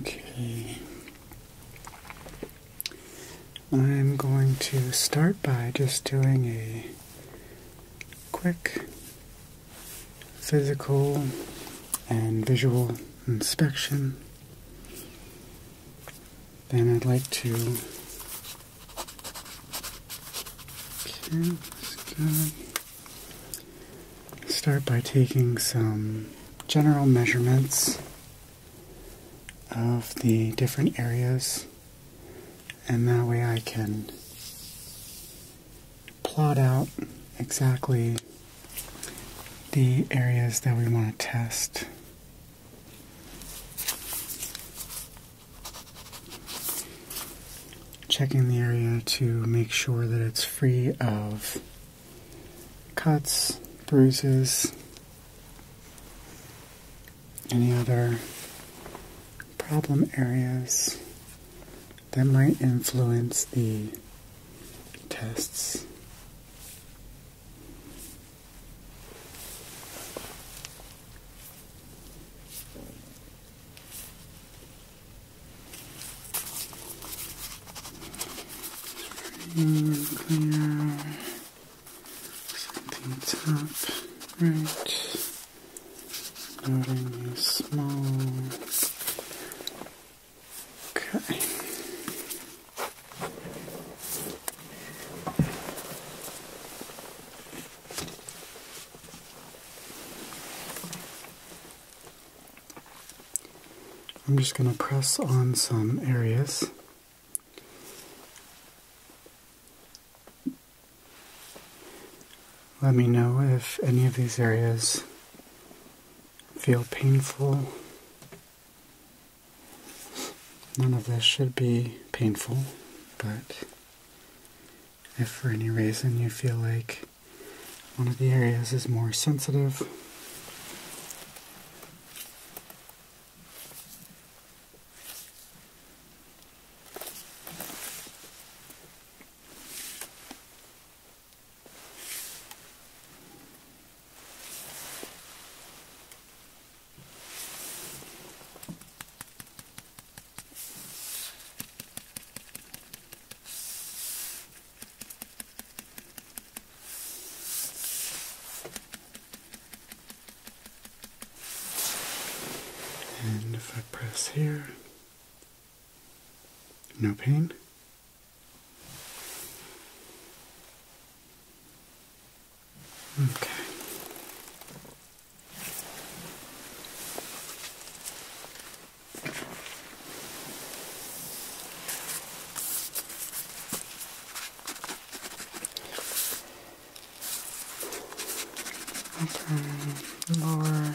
Okay. I'm going to start by just doing a quick physical and visual inspection. Then I'd like to Okay, let's start by taking some general measurements of the different areas, and that way I can plot out exactly the areas that we want to test. Checking the area to make sure that it's free of cuts, bruises, any other problem areas that might influence the tests clear. Something top right. Noting small. Okay. I'm just going to press on some areas. Let me know if any of these areas feel painful None of this should be painful, but if for any reason you feel like one of the areas is more sensitive, and if I press here, no pain. Okay. Okay, lower.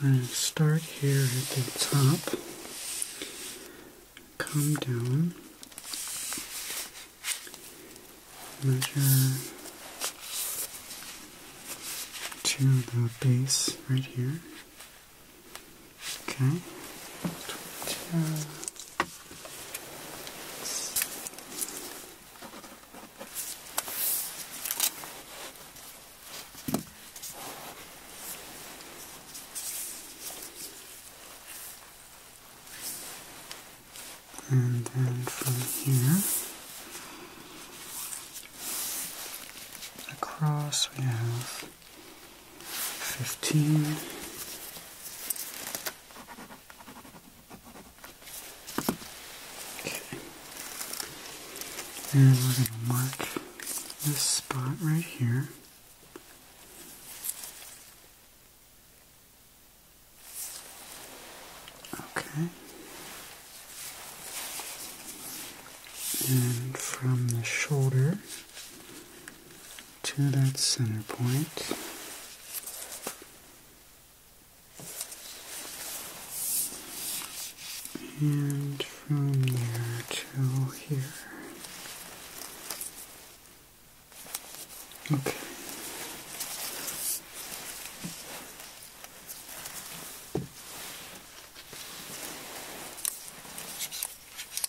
i start here at the top, come down, measure to the base right here. Okay. And then from here across we have fifteen. Okay. And we're going to mark this spot right here. Okay. And from the shoulder to that center And from there to here. Okay.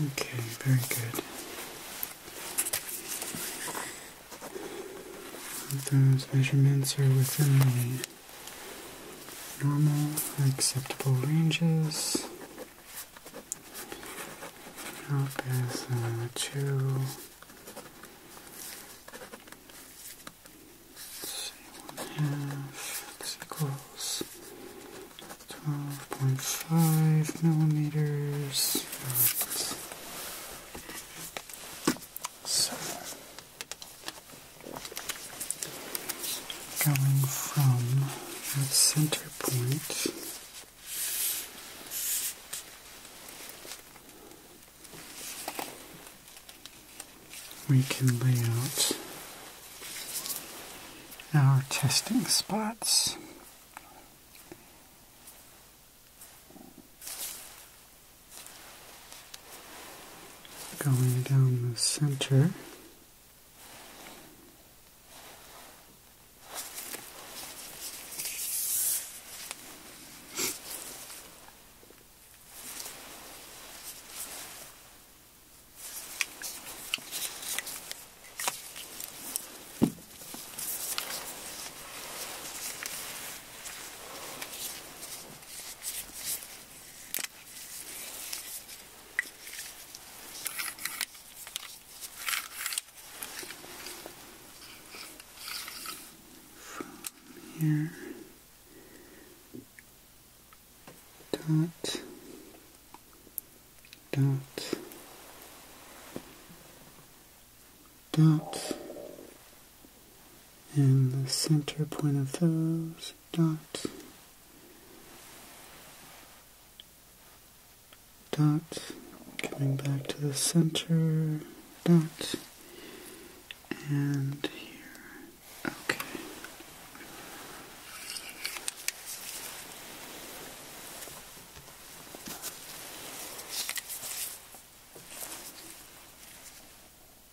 Okay, very good. Those measurements are within the normal, acceptable ranges. Up is uh, two. one half. equals twelve point five millimeters. So going from the center point we can lay out our testing spots going down the center. From here, dot, dot, dot, and the center point of those dot dot coming back to the center dot and here okay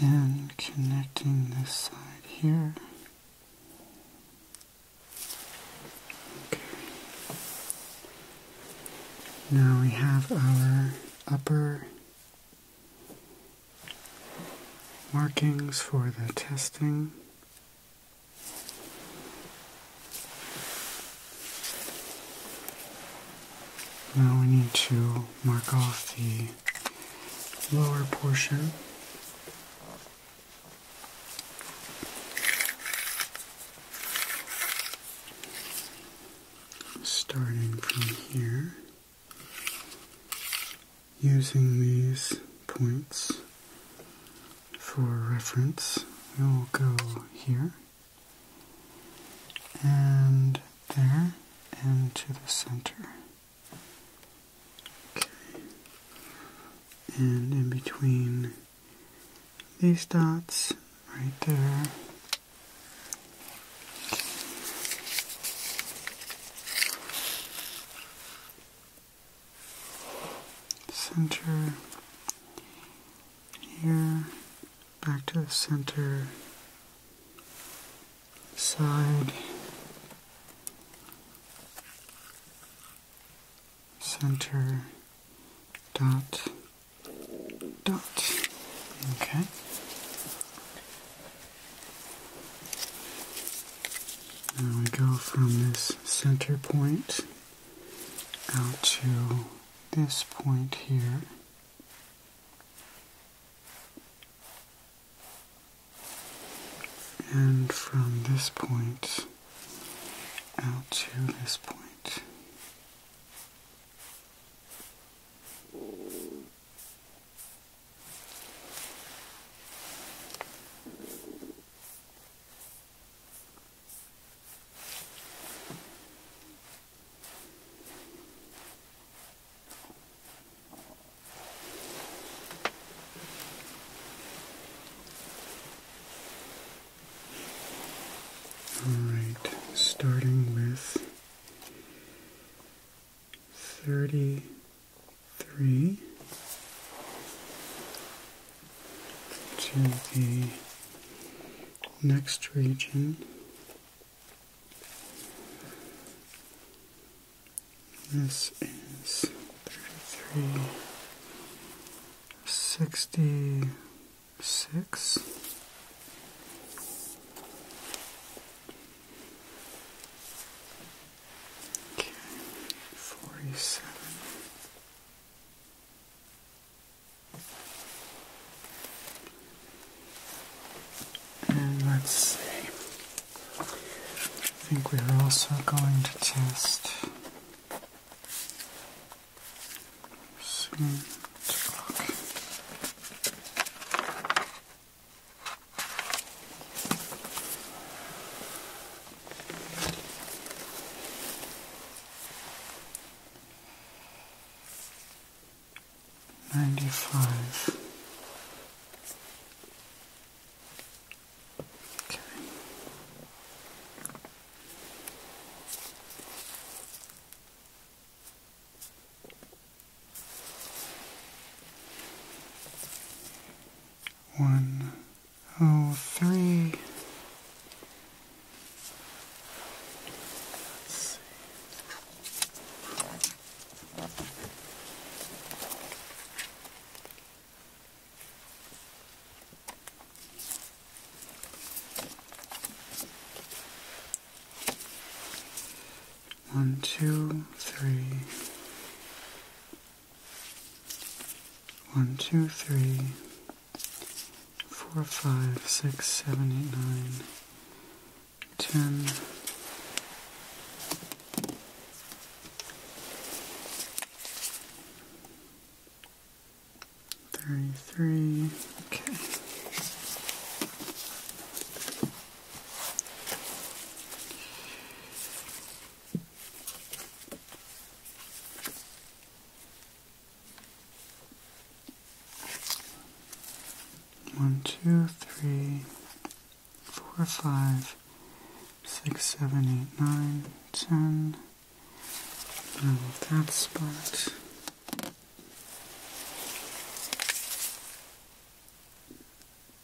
and connecting this side here. Okay. Now we have our upper markings for the testing. Now we need to mark off the lower portion. Starting from here using these points for reference, we'll go here and there and to the center. Okay. And in between these dots right there center here, back to the center, side, center, dot, dot. Okay. Now we go from this center point out to this point here. And from this point out to this point. Alright, starting with 30 three to the next region. This is sixty six. Okay, forty-seven. And let's see. I think we are also going to test soon to Ninety-five. Okay. One oh, One, two, three, one, two, three, four, five, six, seven, eight, nine, ten. Thirty-three. Okay. One, two, three, four, five, six, seven, eight, nine, ten. Remove that spot.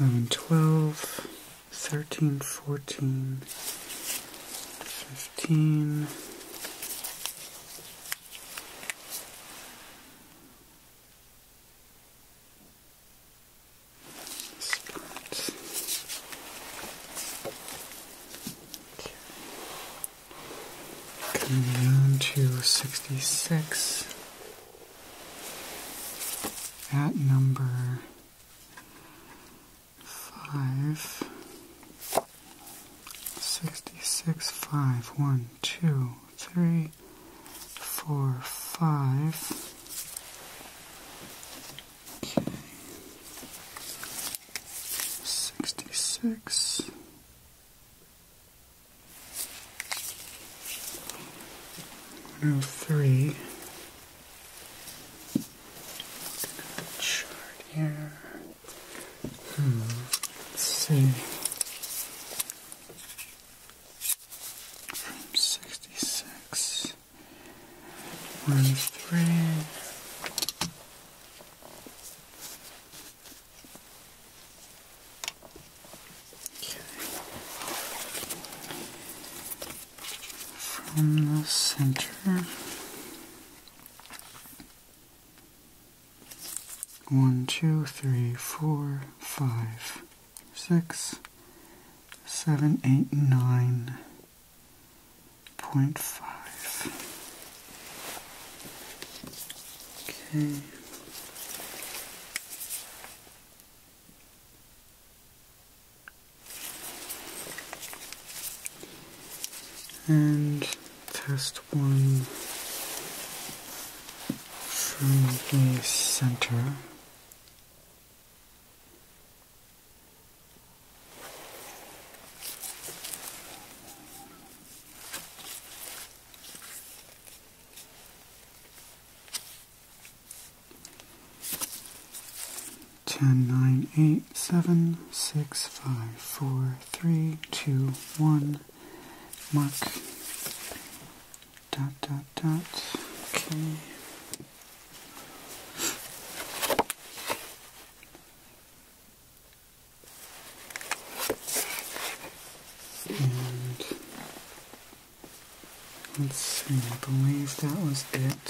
11, 12, 13, 14, 15, 66 at number five sixty six five one two three four five okay sixty six 103. Looking chart here. Hmm. Let's see. From 66. 103. Okay. From the center, one, two, three, four, five, six, seven, eight, nine point five. Okay. And test one from the center. Ten, nine, eight, seven, six, five, four, three, two, one. Mark. Dot, dot, dot. Okay. And Let's see, I believe that was it.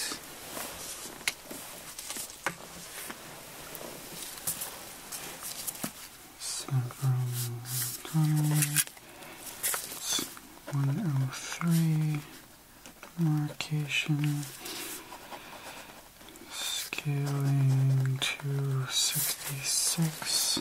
Several it's 103 marcation scaling to 66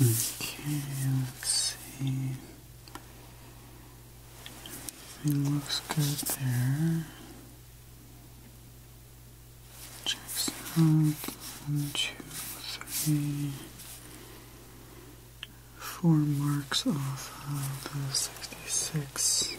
Okay, let's see. Everything looks good there. Checks out. One, two, three, four marks off of 66.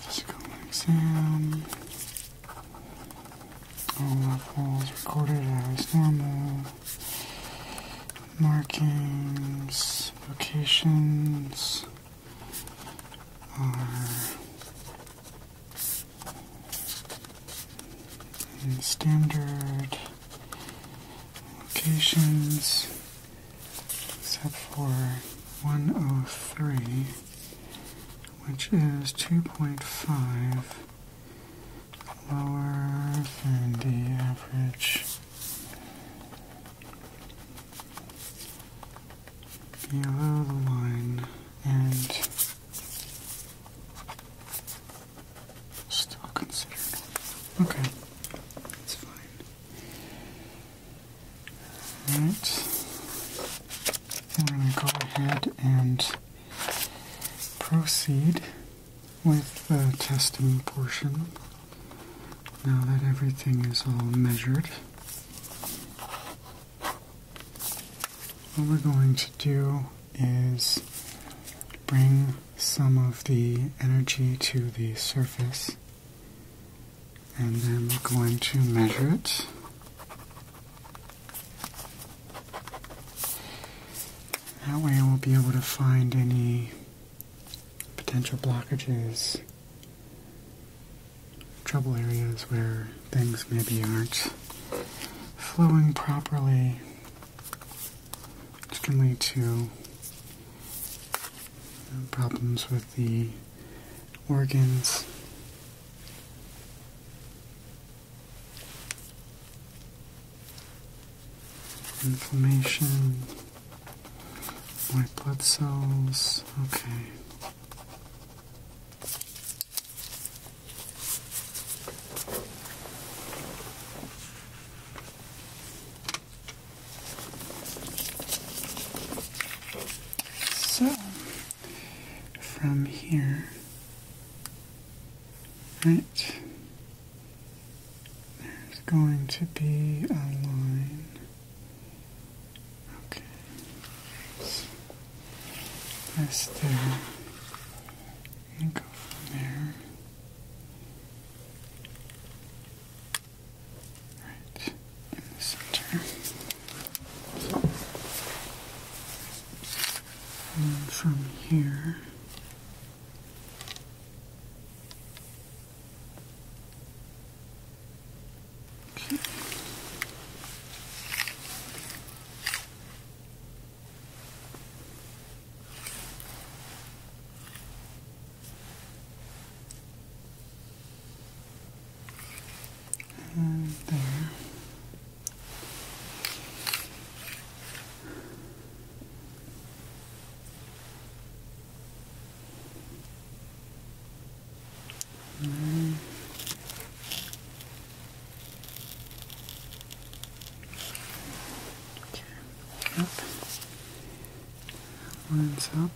Physical exam. All levels recorded as normal. Markings, locations are standard locations except for 103, which is 2.5 lower than the average below the line and still considered. Okay, that's fine. Alright, right. I'm going to go ahead and proceed with the testing portion now that everything is all measured. What we're going to do is bring some of the energy to the surface and then we're going to measure it. That way I will not be able to find any potential blockages, trouble areas where things maybe aren't flowing properly, which can lead to problems with the organs. Inflammation, white blood cells, okay. So, from here, right, there's going to be a line. Okay, so this there, and go from there right in the center. And from here, Okay. And there. And Okay. Up lines up.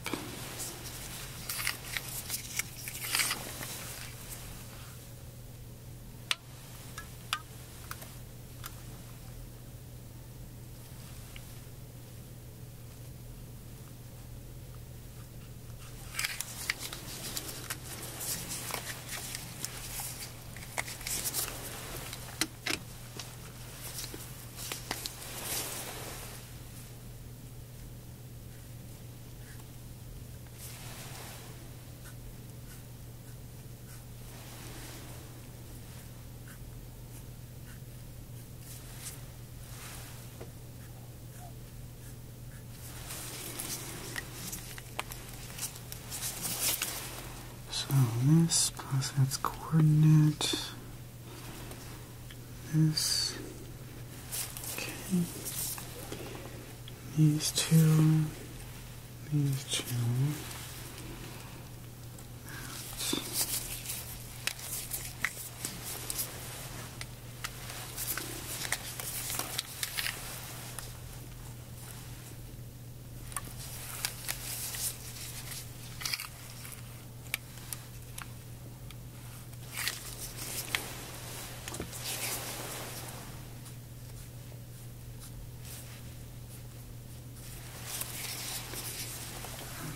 So this plus its coordinate this. Okay. These two. These two. That.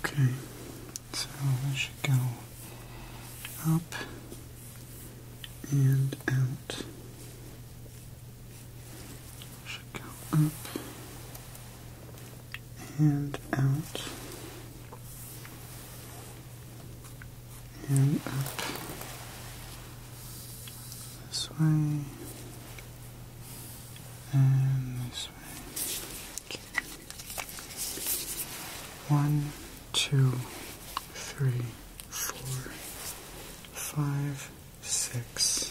Okay, so I should go up and out. Should go up and out and up this way and this way. Okay. One, two, three, four, five, six.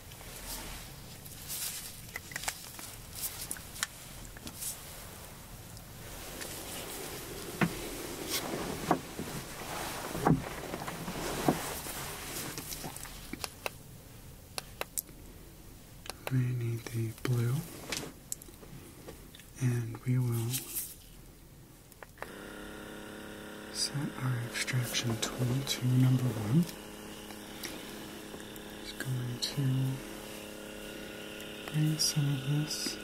We need the blue, and we will set our extraction tool to number one. Just going to bring some of this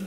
Okay.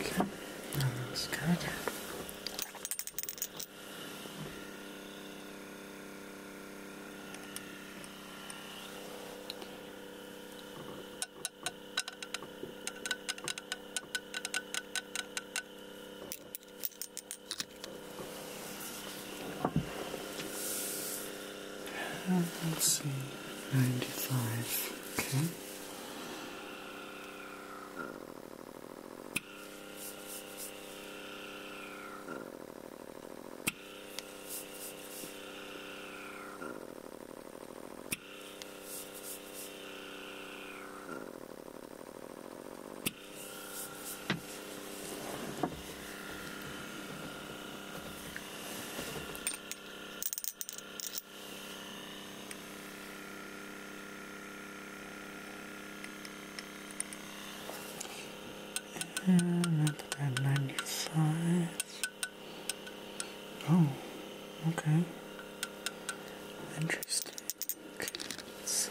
Okay, that looks good. Let's see, 95, okay. And 95. Oh, okay. Interesting. let's see.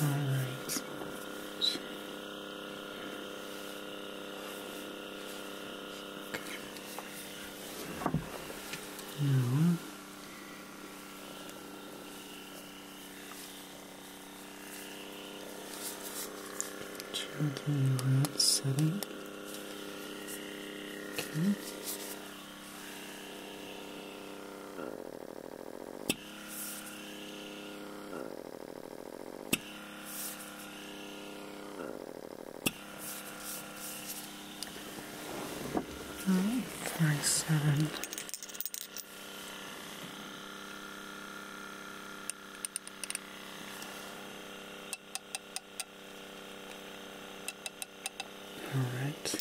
All right. Okay. Now, gently around setting. Okay. Oh, Forty-seven. All right.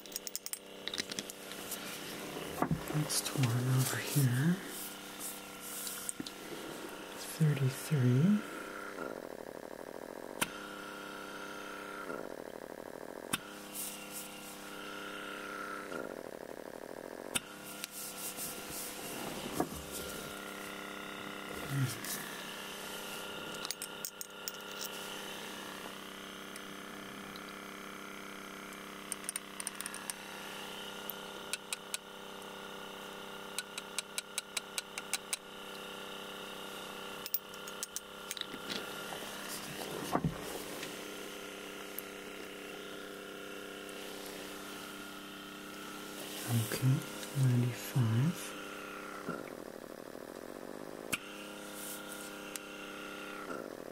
Next one over here. 33. Okay, ninety five.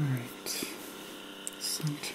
Alright, center.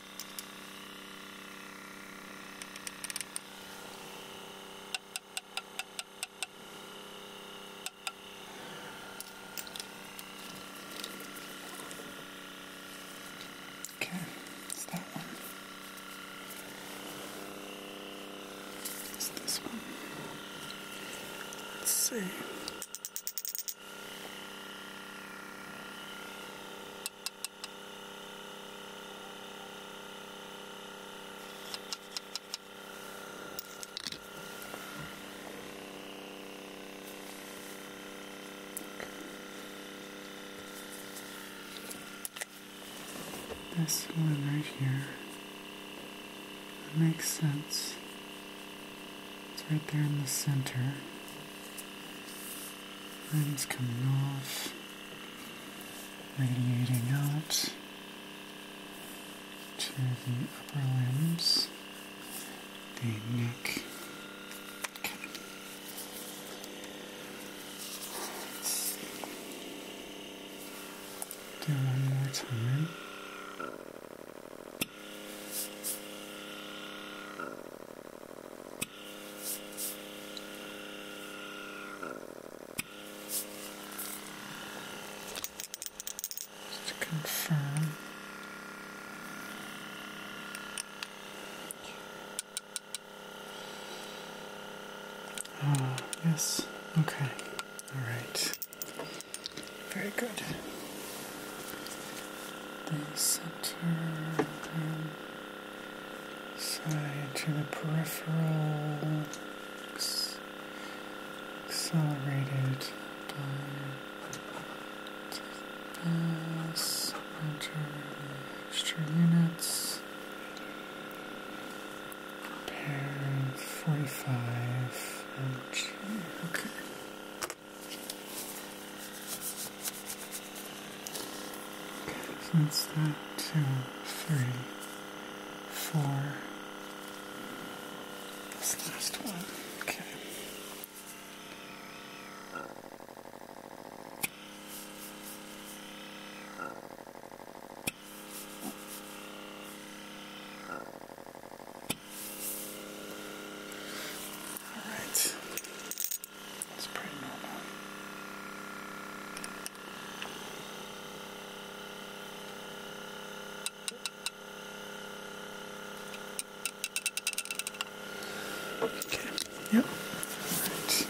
Okay, it's that one. It's this one. Let's see. This one right here. That makes sense. It's right there in the center. Lens coming off, radiating out to the upper limbs, the neck. do one more time to confirm. Ah, yes. Okay. All right. Very good. The center side to the peripheral, accelerated by mass, enter the extra units, pair 45 and okay. So it's not two, three, four. This last one. Okay. All right. That's pretty normal. Okay, yep. Right.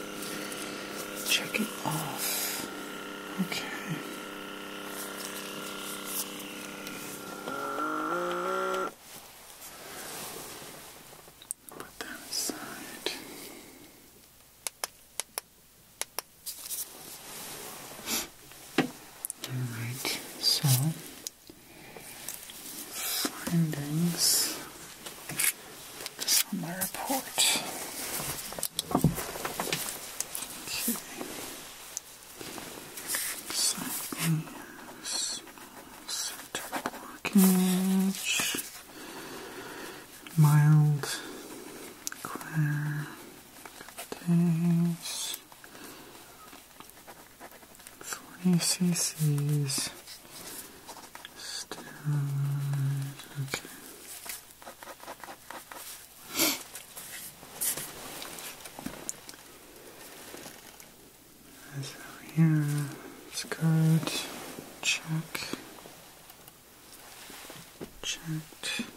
Check it off. Okay. Put that aside. Alright, so findings. Put this on my report. Okay. Cycling center blockage, mild clear days, 40 cc's, steroid, okay. So here, skirt, check, check.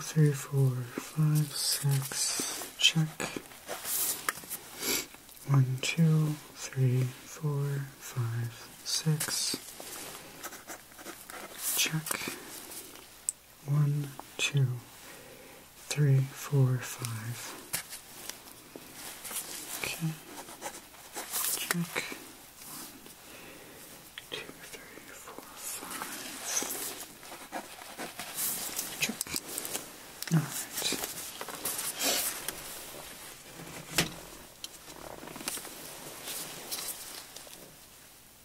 three, four, five, six, check. One, two, three, four, five, six, check. One, two, three, four, five. Okay. Check. One, two, three, four, five. Check. All right.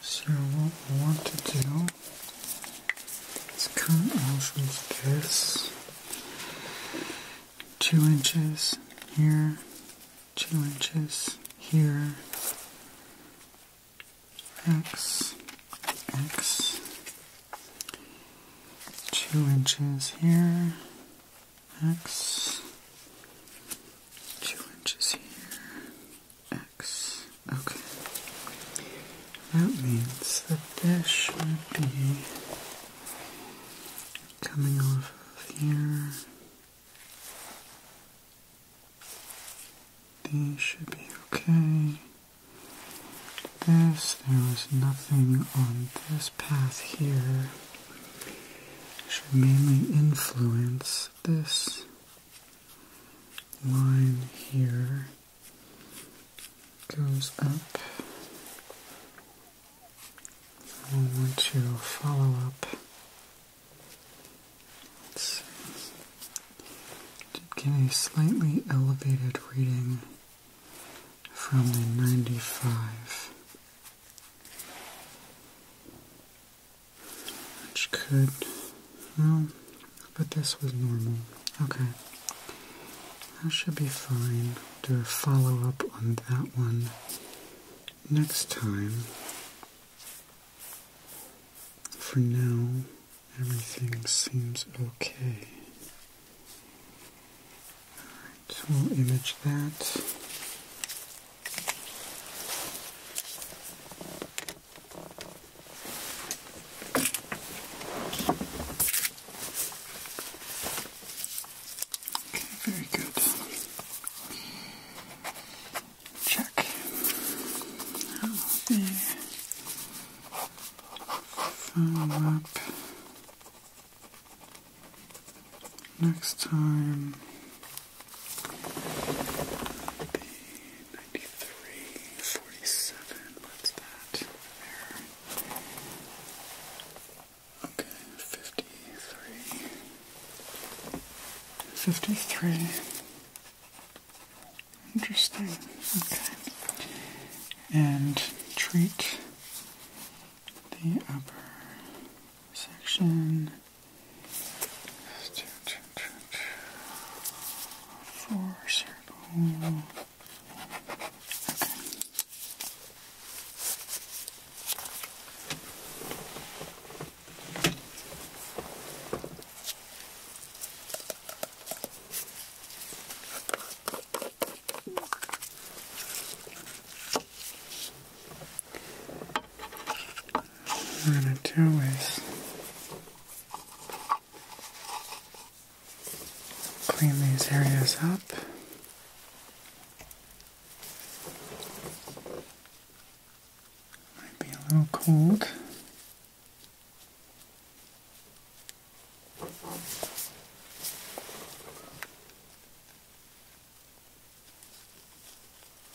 So what we want to do is cut out from this two inches here, two inches here, x, x, two inches here, x, two inches here, X. Okay. That means that this should be coming off of here. These should be okay. This, there was nothing on this path here. Should mainly influence this line here goes up. I want to follow up. Let's Did get a slightly elevated reading from the 95 which could, well, but this was normal. Okay, that should be fine. Do a follow up on that one next time. For now, everything seems okay. Alright, we'll image that very good. Check. Okay. Follow up. Next time. 93, 47, what's that? There. Okay, 53. 53. Interesting. Okay. And treat the upper section Four circle. Okay we're going to do is clean these areas up. Might be a little cold.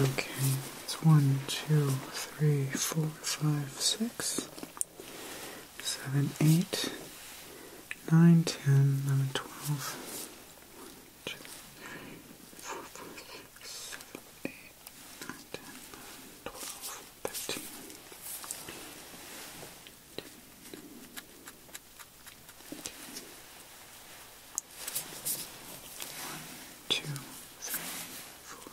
Okay, it's one, two, three, four, five, six seven, eight, nine, ten, eleven, twelve. One, two, three, four, five, six, seven, eight, nine, ten, eleven, twelve, thirteen. 1, 2, 3, 4,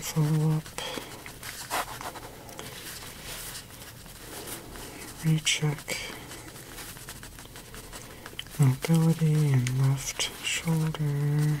follow up. Recheck mobility and left shoulder.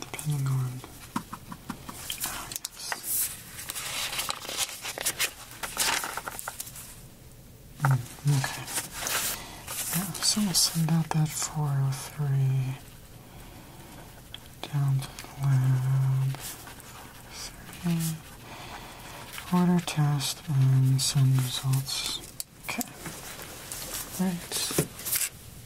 depending on how it is. Mm, okay. Yeah, so we send out that 403 down to lab. Order test and send results. Okay. Right.